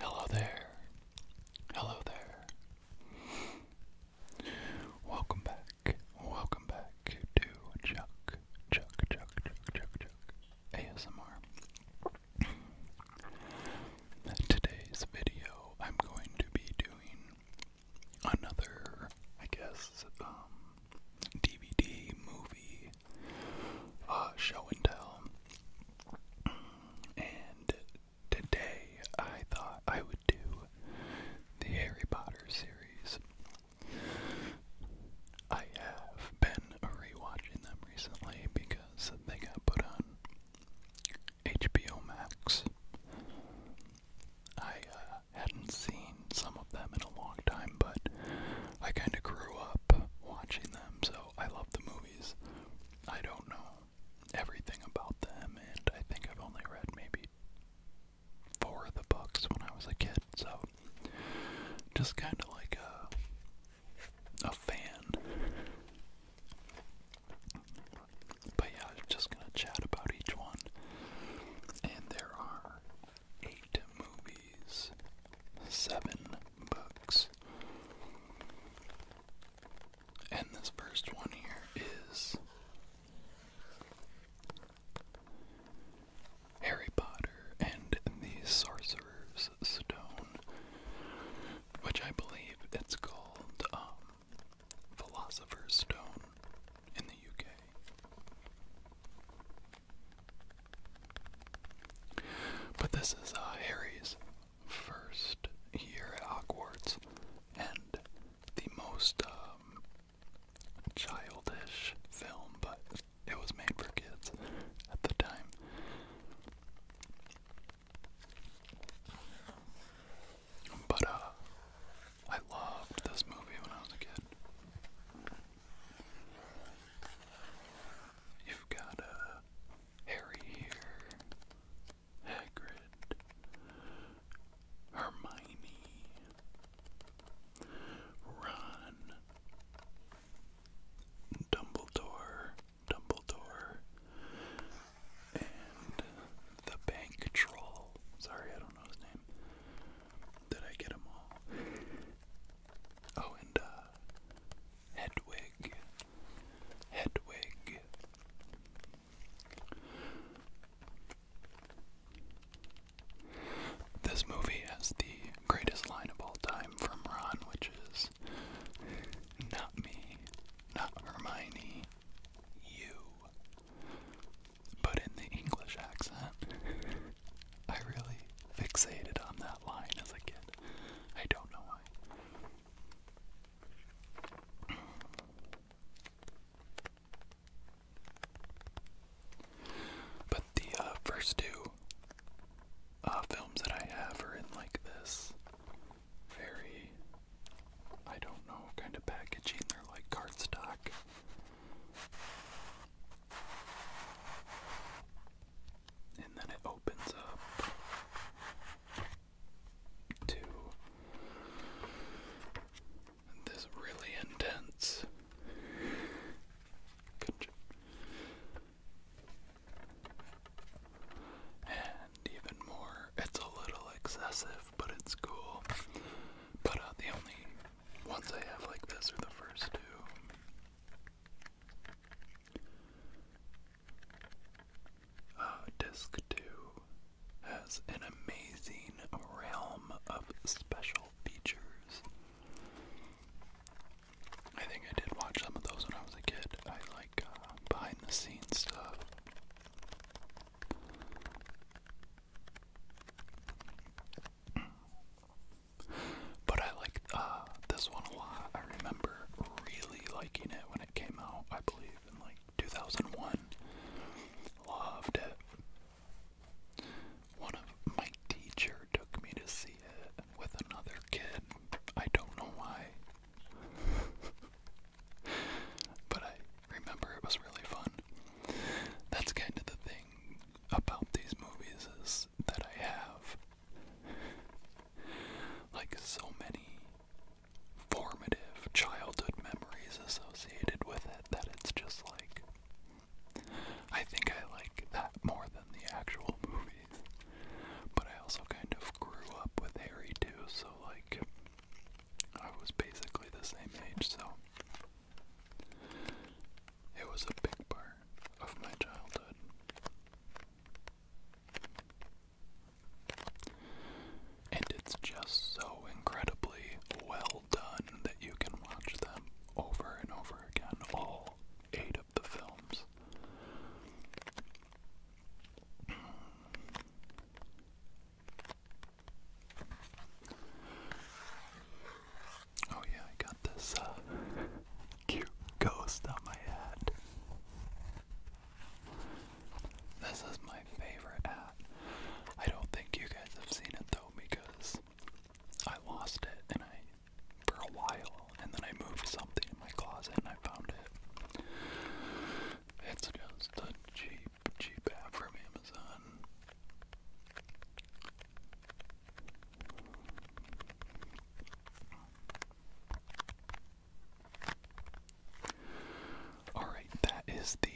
Hello there. Hello there. Welcome back. Welcome back to Chuck, Chuck, Chuck, Chuck, Chuck, Chuck ASMR. Today's video, I'm going to be doing another, I guess, DVD um, movie uh, show and tell. And today I thought I would do the Harry Potter series. I have been rewatching them recently because they got put on HBO Max. I uh, hadn't seen some of them in a long time, but I kind of grew up watching them, so I love the movies. I don't know everything about them, and I think I've only read maybe four of the books when I was a kid, so just kind of like a, a fan. But yeah, I'm just gonna chat about each one. And there are eight movies, seven books. And this first one here is Harry Potter and the Sorcerer's Stone, which I believe it's called um, Philosopher's Stone in the UK. But this is uh, Harry's first year at Hogwarts, and the most um, childish film, but it was made for kids at the time. But uh, I loved this movie when I was a kid. You've got uh, Harry here, Hagrid, Hermione, Ron, Dumbledore, Dumbledore, and the bank troll. Sorry, I don't know his name. Did I get them all? Oh, and uh, Hedwig, Hedwig. This movie has the greatest line of all time from Ron, which is not me, not Hermione, you. But in the English accent, I really fixated on that that as a kid. I don't know why. But the uh, first two uh, films that I have are in like this very, I don't know, kind of packaging. They're like cardstock and then it opens up to this really intense and even more it's a little excessive but it's cool but uh, the only ones I have like this are the first two uh, disc 2 has an amazing realm of special features. I think I did watch some of those when I was a kid. I like uh, behind the scenes stuff. But I like uh, this one a lot. I remember really liking it when it came out, I believe, in like 2001. Loved it. One of my teacher took me to see it with another kid. I don't know why. but I remember it was really fun. That's kind of the thing about these movies is that I have. Like so many formative childhood memories associated with it, that it's just like. I think I like that more than the actual movies. But I also kind of grew up with Harry too, so like. I was basically the same age, so. It was a big part of my childhood. And it's just so incredibly well done that you can watch them over and over again, all eight of the films. Oh yeah, I got this uh, cute ghost on my head. This is my favorite hat. I don't think you guys have seen it though because I lost it and I for a while and then I moved something in my closet and I found it. It's just a cheap, cheap hat from Amazon. Alright, that is the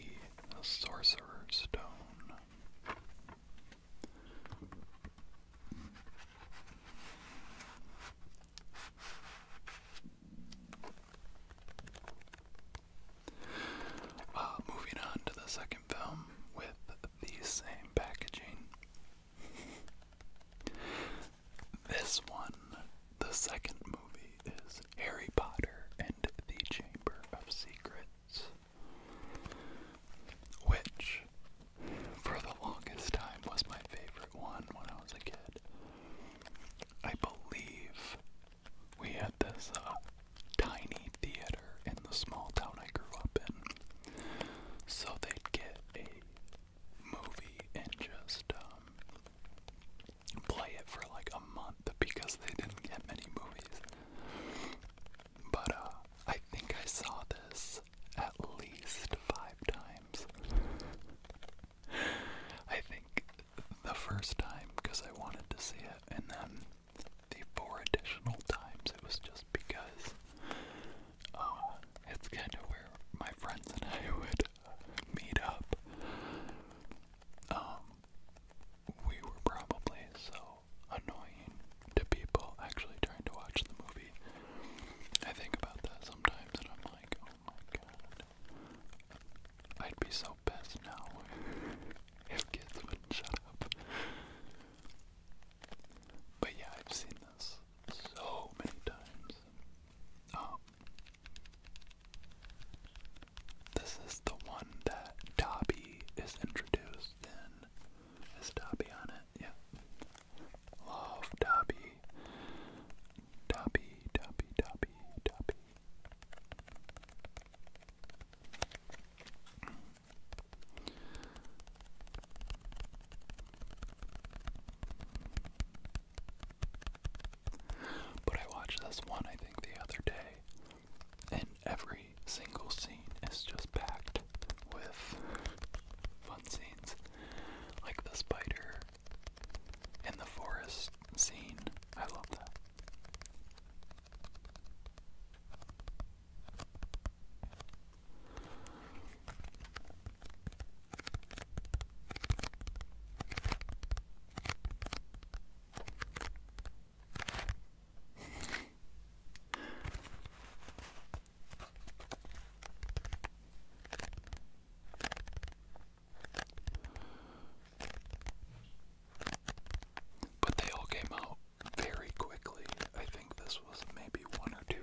Sorcerer's Stone. Uh, moving on to the second film with the same packaging, this one, the second movie, is Harry Potter and the Chamber of Secrets, which for the longest time was my favorite one when I was a kid. I believe we had this uh, tiny theater in the small town I grew up in. So they'd get a movie and just um, play it for like a month because they didn't get many movies. But uh, I think I saw this at least five times. I think the first time because I wanted to see it, and then the four additional times it was just because uh, it's kind of where my friends and I would uh, meet up. Um, we were probably so annoying to people actually trying to watch the movie. I think about that sometimes and I'm like, oh my god. I'd be so pissed now if kids wouldn't shut up. But yeah, I've seen this so many times. Um, this is the one that Dobby is introduced in. Is Dobby on it? Yeah. Love Dobby. Dobby, Dobby, Dobby, Dobby. But I watched this one, I think, the other day, and every single scene is just packed with fun scenes. Like the spider in the forest scene. I love that. But they all came out very quickly. I think this was maybe one or two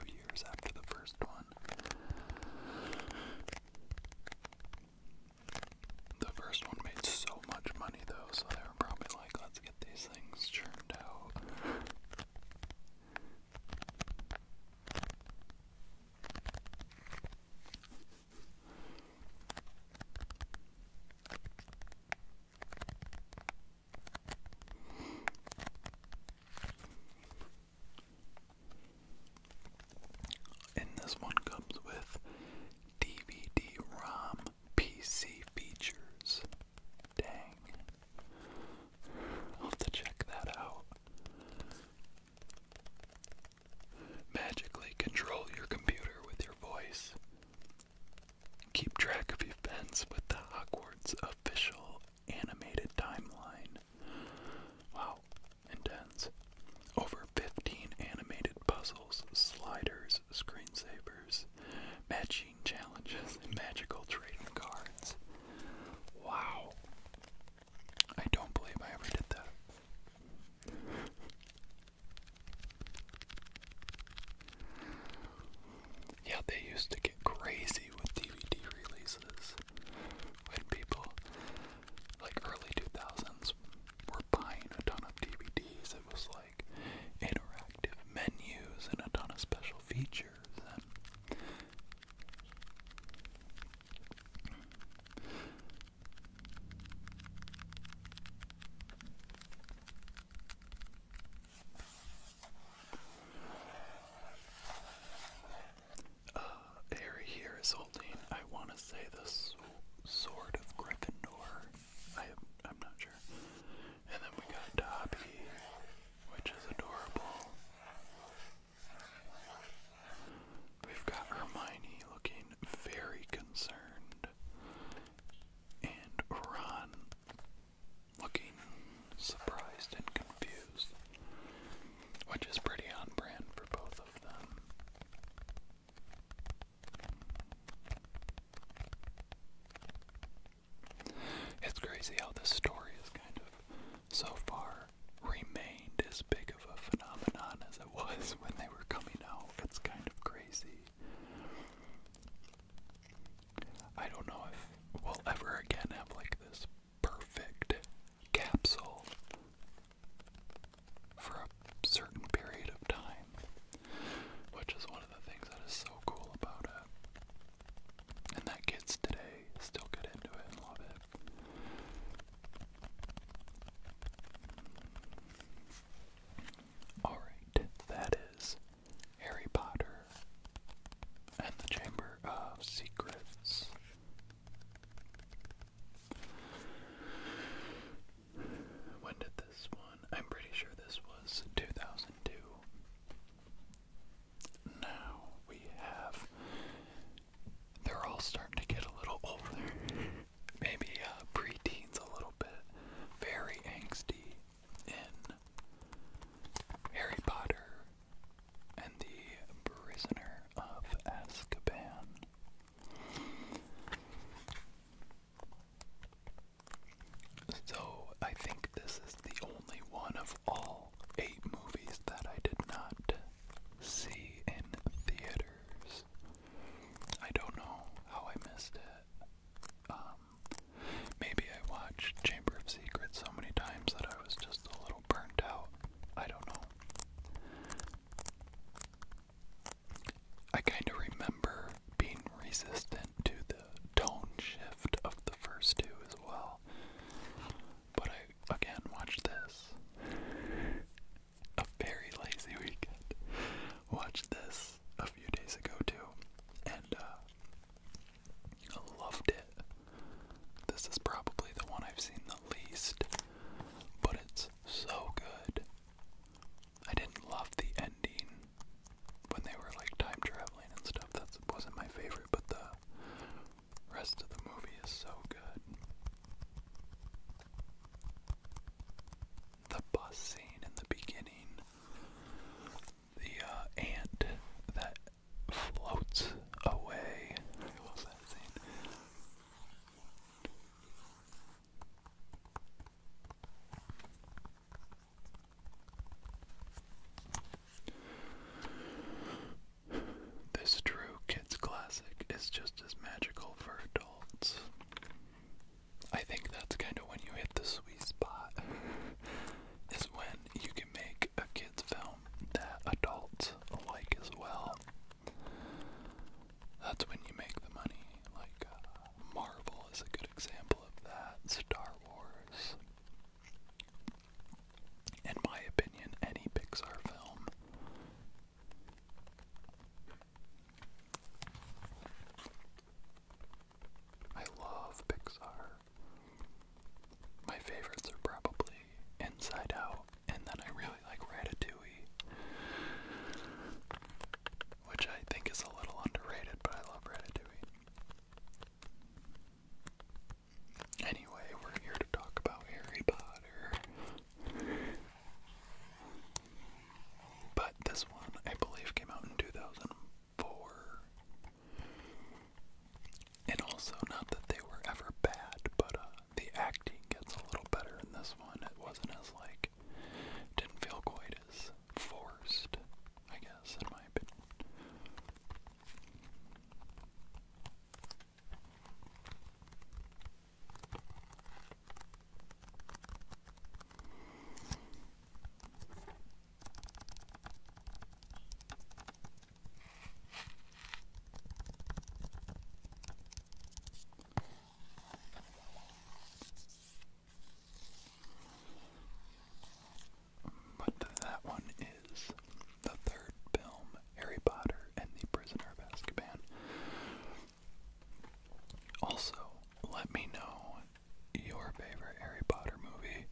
the first one made so much money though, so they were probably like, let's get these things churned out. And this one comes with DVD ROM PC features. Dang. I'll have to check that out. Magically control your computer with your voice. Keep track of events with the Hogwarts official animated timeline. Wow, intense. Over 15 animated puzzles, sliders, screensavers, matching challenges, magical trading cards. Wow. I don't believe I ever did that. Yeah, they used to get crazy with DVD releases when people, like early 2000s, were buying a ton of DVDs. It was like interactive menus and a ton of special features. And uh, Harry here is holding, I want to say, the sword of Gryffindor. I am, I'm not sure. And then we got Dobby, which is adorable. We've got Hermione looking very concerned, and Ron looking surprised and confused, which is pretty on brand for both of them. It's crazy how this story has kind of so far remained as big of a phenomenon as it was when they were coming out. It's kind of crazy. I don't know if we'll ever again have like this perfect capsule for a certain period of time, which is one of the things that is so cool about it. And that kids today still get into it and love it. Alright, that is Harry Potter and the Chamber of Secrets. When did this one? I'm pretty sure this was 2002. Now we have. They're all starting to get a little older. Maybe uh, preteens a little bit. Very angsty in Harry Potter and the Prisoner of Azkaban. So, I think this is the only one of all eight movies that I did not see in theaters. I don't know how I missed it. Um, Maybe I watched Chamber of Secrets so many times that I was just a little burnt out. I don't know. I kind of remember being resistant to the tone shift of the first two as well. But I, again, watched this. A very lazy weekend. Watched this a few days ago too. And uh, Loved it. This is probably the one I've seen the least, but it's so good. I didn't love the ending when they were like time traveling and stuff. That wasn't my favorite, but the rest of the movie is so good. The bus scene in the beginning, the uh, aunt that floats away. This true kids classic is just as magical for adults. I think that's kind of when you hit the sweet spot. is when you can make a kids film that adults like as well. That's when you make the money. Like uh, Marvel is a good example of that. Star Wars. In my opinion, any Pixar film. I love Pixar. My favorites are probably Inside Out, and then I really like Ratatouille, which I think is a little underrated, but I love Ratatouille. Anyway, we're here to talk about Harry Potter. But this one, I believe, came out in 2000 four. And also, not that they were ever bad, but uh, the acting gets a little better in this one. It wasn't as like didn't feel quite as forced, I guess, in my opinion. But that one is the third film, Harry Potter and the Prisoner of Azkaban. Also, let me know your favorite Harry Potter movie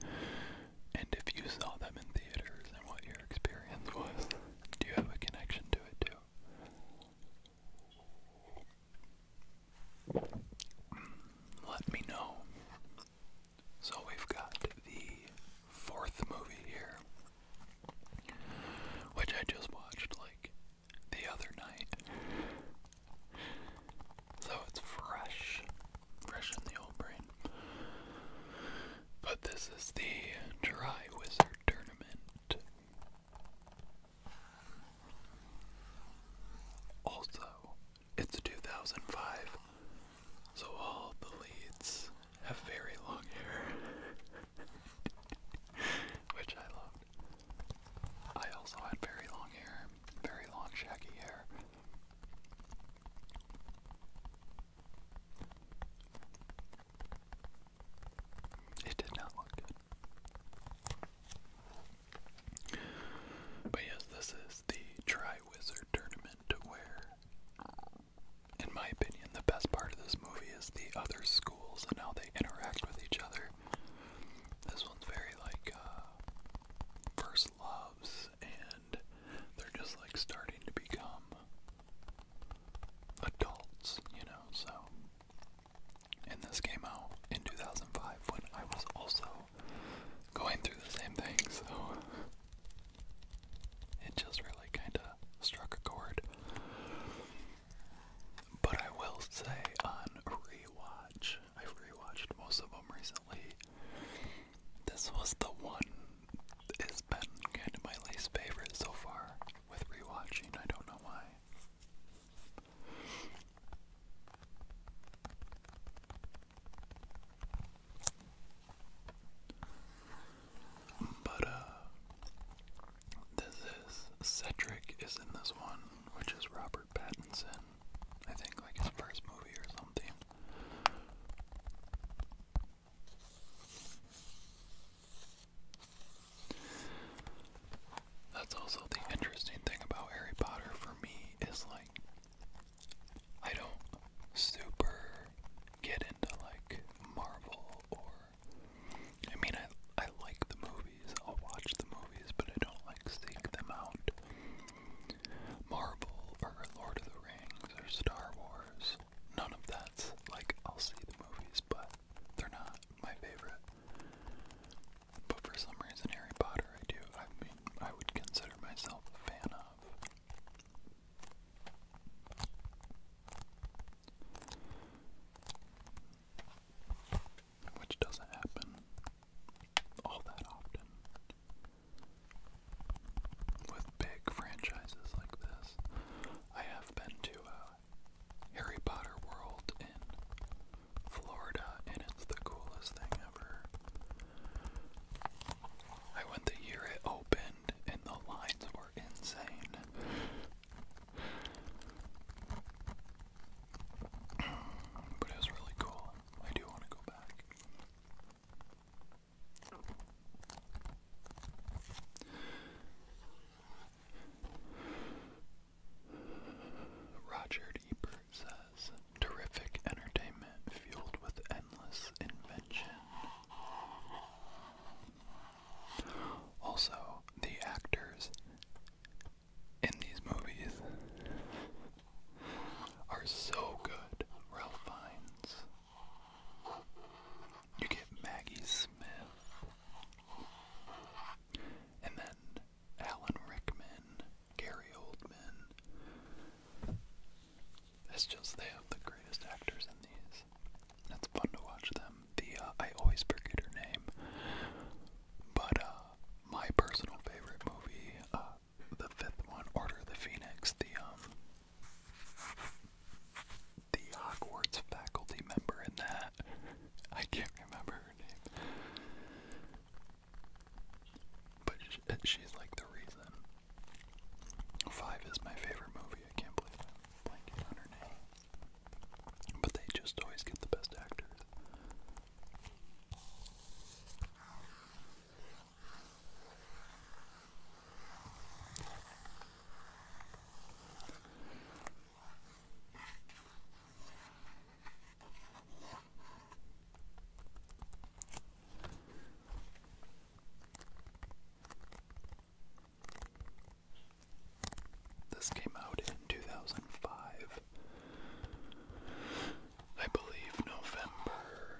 and if you saw them in theaters and what your experience was. Do you have a connection to it too? Let me know. So we've got the fourth movie here, which I just watched like the other night. So it's fresh fresh in the old brain. But this is the Dry Wizard Tournament. Also, it's 2005, so all the leads have very long hair, which I loved. I also had very long hair, very long shaggy hair, it did not look good. But yes, this is the Tri tournament where, in my opinion, the best part of this movie is the other schools and how they interact with each other. This one's very like uh, first loves things, and they're just like starting to become adults, you know. So, and this came out in 2005 when I was also going through the same thing, so it just really kind of struck a chord. But I will say on rewatch, I've rewatched most of them recently. This was the one it's been kind of my least favorite so far with rewatching. I don't know why. But uh this is Cedric is in this one, which is Robert Pattinson. I think like his first movie or something. That's also the interesting thing about Harry Potter for me is like I don't super get into like Marvel or I mean I I like the movies, I'll watch the movies, but I don't like seek them out Marvel or Lord of the Rings or Star Wars. None of that's like I'll see the movies, but they're not my favorite. But for some reason, Harry Potter, I do. I mean, I would consider myself a fan of. Which doesn't happen all that often with big franchises like this. I have been to uh, Harry Potter World in Florida, and it's the coolest thing ever. I went the year it opened, and the lines were insane. but it was really cool. I do want to go back. Roger Ebert says, terrific entertainment fueled with endless invention. Also, the actors in these movies are so good. Ralph Fiennes. You get Maggie Smith. And then Alan Rickman, Gary Oldman. It's just they have the greatest actors in these. It's fun to watch them. The uh, I always forget her name, but uh, my personal favorite movie uh, the fifth one, Order the Phoenix, the um the Hogwarts faculty member in that. I can't remember her name. But she's like the reason. Five is my favorite movie. I can't believe i blanking on her name. But they just always get the best actors. This came out in 2005. I believe November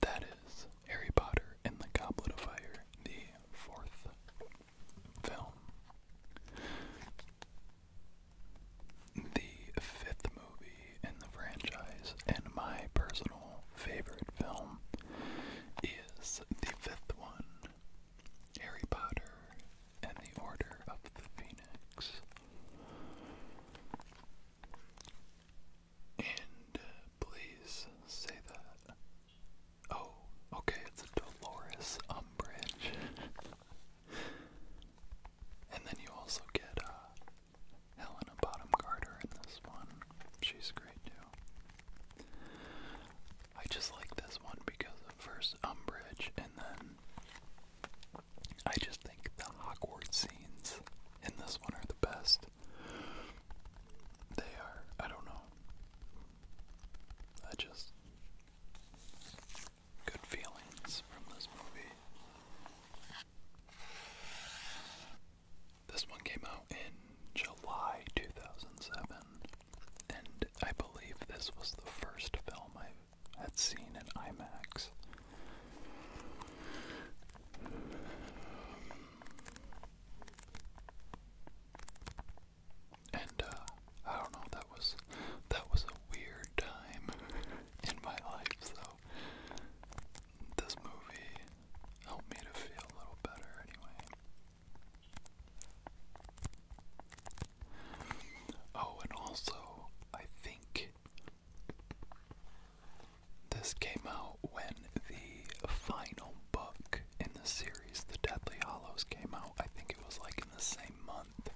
That is Harry Potter and the Goblet of Fire, the fourth film. The fifth movie in the franchise, and my personal favorite film is the fifth one Harry Potter and the Order of the Phoenix. And uh, please say that. Oh, okay, it's Dolores Umbridge. and then you also get uh, Helena Bottom Carter in this one. She's great too. I just like this one because of first Umbridge and then I just think the Hogwarts scenes in this one are the best. They are, I don't know. I just good feelings from this movie. This one came out in July 2007, and I believe this was the first film I had seen in IMAX. And uh, I don't know. That was that was a weird time in my life. So this movie helped me to feel a little better anyway. Oh, and also, I think this came out when the final book in the series, The Deadly Hollows, came out. I think it was like in the same month.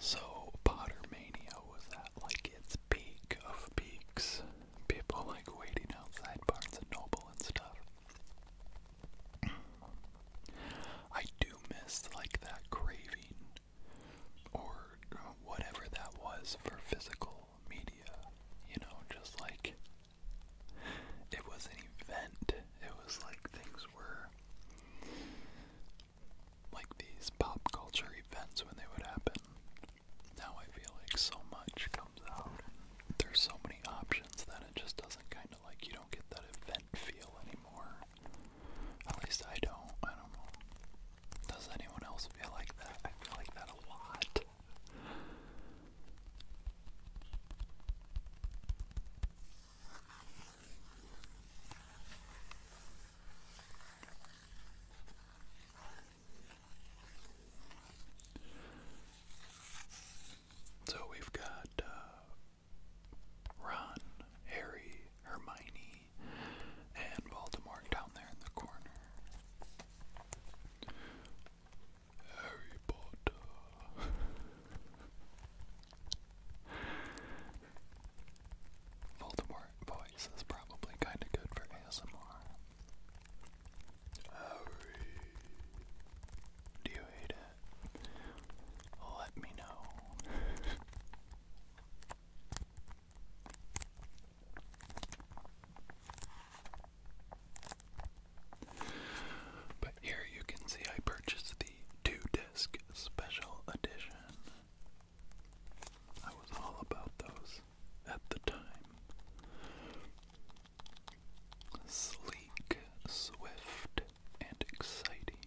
So, Pottermania was at like its peak of peaks people like waiting outside Barnes and Noble and stuff. I do miss like that craving or uh, whatever that was for physical media, you know, just like it was an event. It was like things were like these pop culture events when they would happen. Now I feel like so much comes out. There's so many options that it just doesn't kind of like you don't get that event feel anymore. At least I don't. I don't know. Does anyone else feel like that? I feel like that a lot. So we've got uh, Ron, Harry, Hermione, and Voldemort down there in the corner. Harry Potter. Voldemort voice is probably kind of good for ASMR. Do you hate it? Let me know. but here you can see I purchased the two disc special edition. I was all about those at the time. Sleek, swift, and exciting.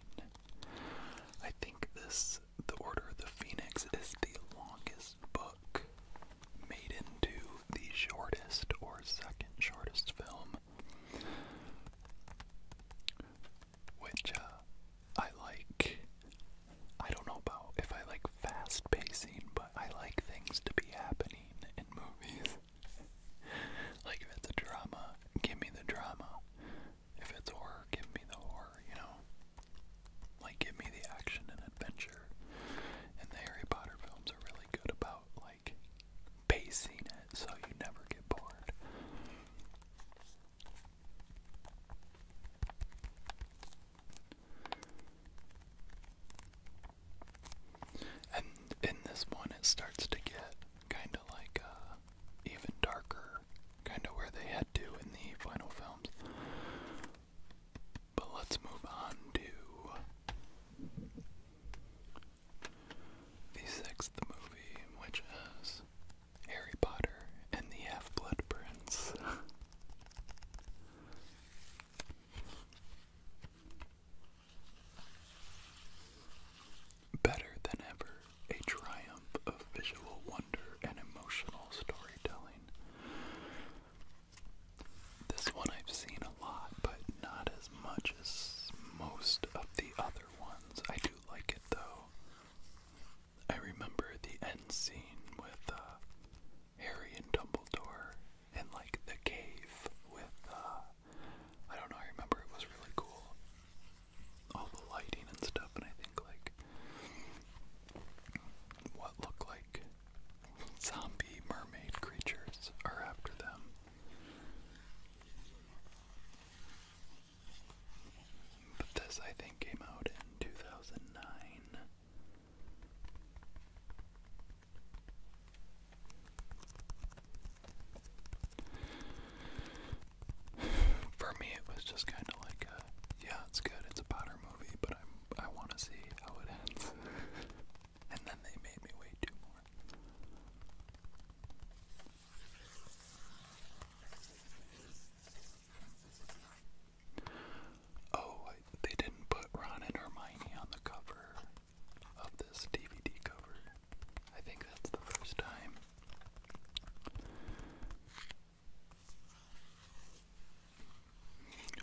I think this, The Order of the Phoenix, is the longest book made into the shortest or second shortest film. Which uh, I like. I don't know about if I like fast pacing, but I like things to be happening in movies. like if it's a drama, give me the drama. If it's horror, give me the horror, you know? Like give me the action and adventure. And the Harry Potter films are really good about like pacing it so you never get bored. And in this one, it starts to get kind of like uh, even darker, kind of where they head to in the final films. But let's move on to the sixth movie, which is Harry Potter and the Half Blood Prince. Better than ever, a triumph of visual wonder and emotional storytelling. This one I've seen a lot, but not as much as most of the other ones. I do like it though. I remember the end scene with uh, Harry and Dumbledore in like the cave with uh, I don't know, I remember it was really cool. All the lighting and stuff and I think like what looked like zombie mermaid creatures are after them. But this I think came out in 2009. For me, it was just kind of like, yeah, it's good. It's a Potter movie, but I'm I want to see how it ends. and then they made me wait two more. Oh, they didn't put Ron and Hermione on the cover of this DVD cover. I think that's the first time.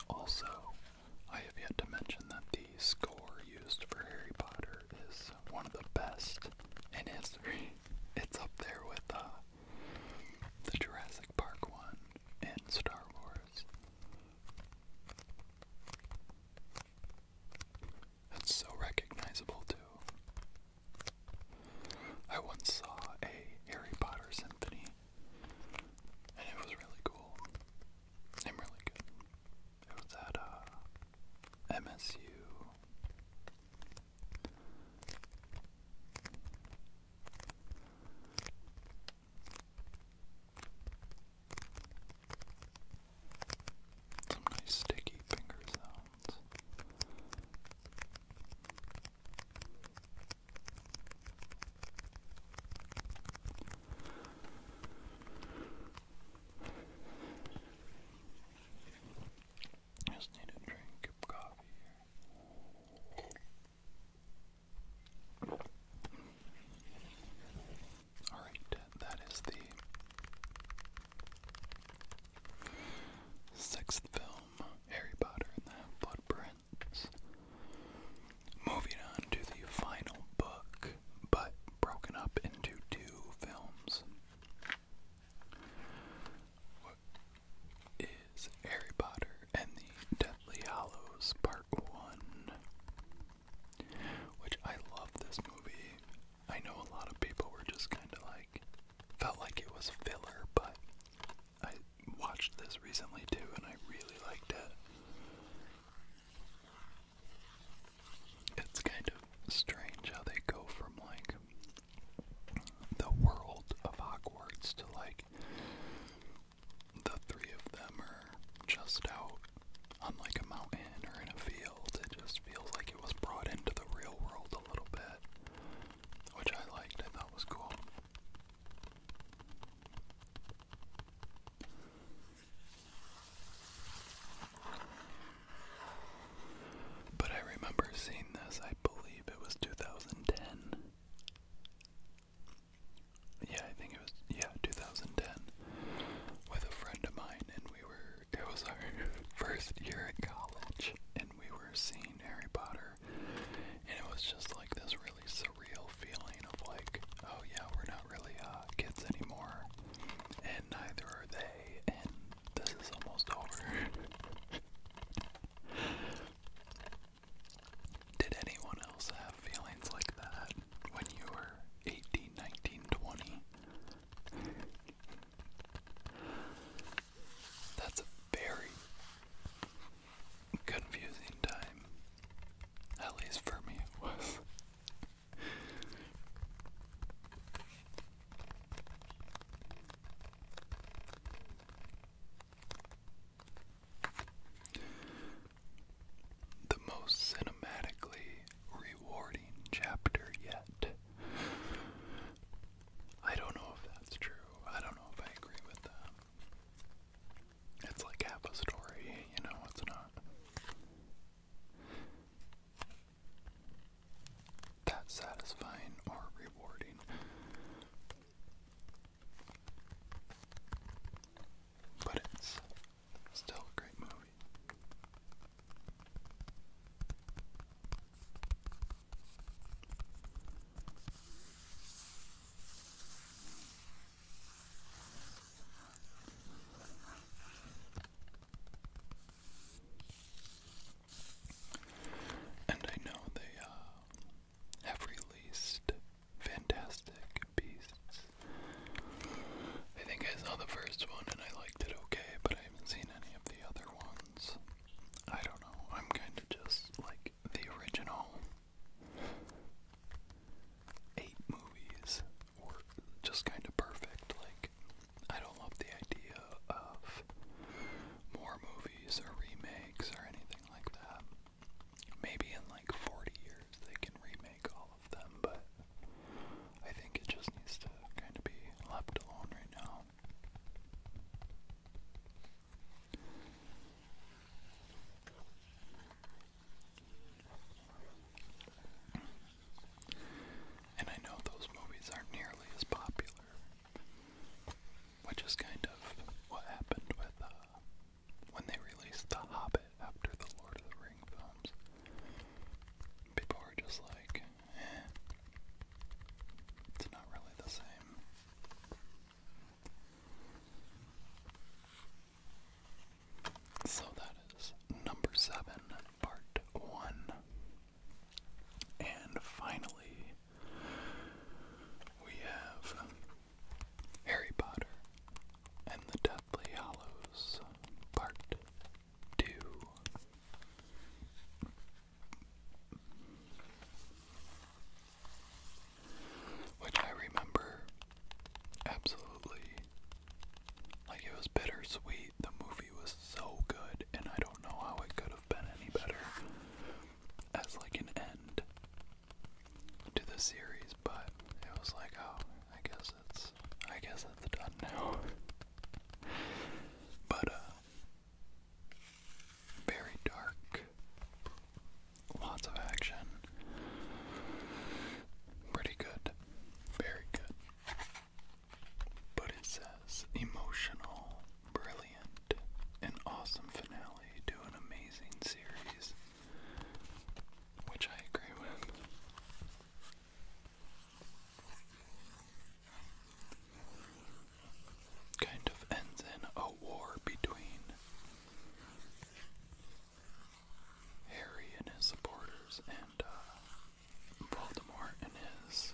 Also, I have yet to mention that the score used for Harry Potter is one of the best in history. It's up there with uh, the Jurassic Park one, in Star Wars. That's so recognizable, too. I once saw a Harry Potter symphony, and it was really cool and really good. It was at uh, MSU. Some nice sticky finger sounds. just need a drink of coffee here. Alright, that is the sixth film, Harry Potter and the Footprints. Moving on to the final book, but broken up into two films is Harry Potter and the Deathly Hollows Part 1, which I love this movie. I know a lot of people were just kind of like, felt like it was filler, but I watched this recently too and I really liked it. It's kind of strange how they go from like the world of Hogwarts to like the three of them are just out on a mountain or in a field. It just feels like it was brought into the real world a little bit, which I liked. I thought was cool. But I remember seeing this, I believe it was 2010 yeah, I think it was yeah, 2010 with a friend of mine and we were it was our first year at college and we were seeing Harry Potter and it was just like this really surreal feeling of like, oh yeah, we're not really uh, kids anymore and neither are they and this is almost over. Did anyone else have feelings like that when you were 18, 19, 20? That's a very confusing time. At least for me, it was. The most cinematically rewarding chapter yet. I don't know if that's true. I don't know if I agree with that. It's like half a story, you know, it's not. That satisfying or rewarding. But it's still a great movie. And I know they uh, have released Fantastic Beasts. I think I saw the first one and I liked it okay, but I haven't seen any of the other ones. I don't know. I'm kind of just like the original. Eight movies were just kind of perfect. Like, I don't love the idea of more movies or remakes or anything like that. Maybe in like 40 years they can remake all of them, but I think it just needs to kind of be left alone right now. And I know those movies aren't nearly as popular, which is kind of what happened with uh, when they released The Hobbit after the Lord of the Ring films, people were just like, eh, it's not really the same. So that is number seven, part one. And finally, we have Harry Potter and the Deathly Hollows Part 2. Which I remember absolutely like it was bittersweet. The movie was so good, and I don't know how it could have been any better as like an end to the series, but it was like, oh, I guess it's, I guess it's done now. but uh, very dark, lots of action, pretty good, very good. But it says emotional, brilliant, an awesome finale to an amazing series, which I agree with. Kind of ends in a war between Harry and his supporters and uh, Voldemort and his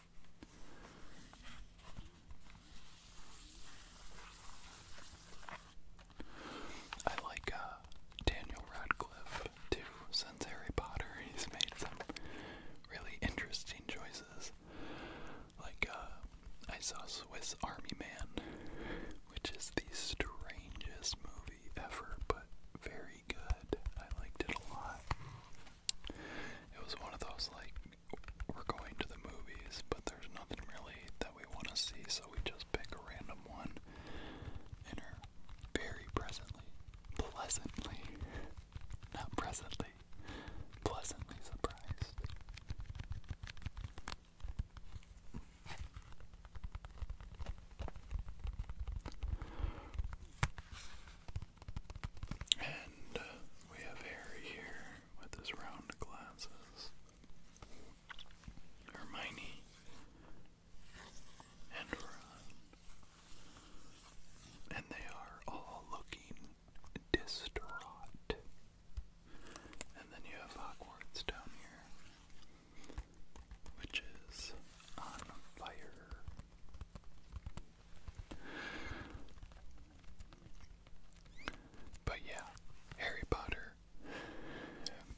I like uh, Daniel Radcliffe too, since Harry Potter. He's made some really interesting choices. Like, uh, I saw Swiss Army Man, which is the strangest movie ever, but very good. I liked it a lot. It was one of those, like, we're going to the movies, but there's nothing really that we want to see, so we just pick a random one very presently, pleasantly, not presently, pleasantly surprised. And uh, we have Harry here with his round glasses. Hermione and Ron. And they are all looking distraught. And then you have Hogwarts down here, which is on fire. But yeah, Harry Potter,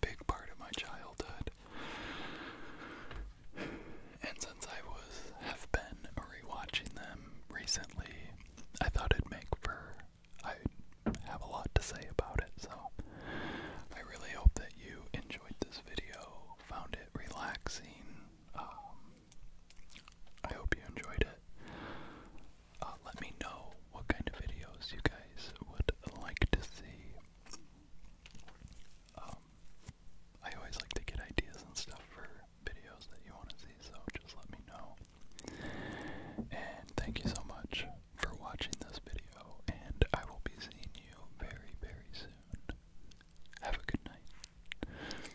big part of my childhood. And since I was have been rewatching them recently, I thought it'd make for I have a lot to say about it, so I really hope that you enjoyed this video, found it relaxing, um, I hope you enjoyed it. Uh, let me know what kind of videos you guys would like to see. Um, I always like to get ideas and stuff for videos that you want to see, so just let me know. And thank you so much for watching this video, and I will be seeing you very, very soon. Have a good night.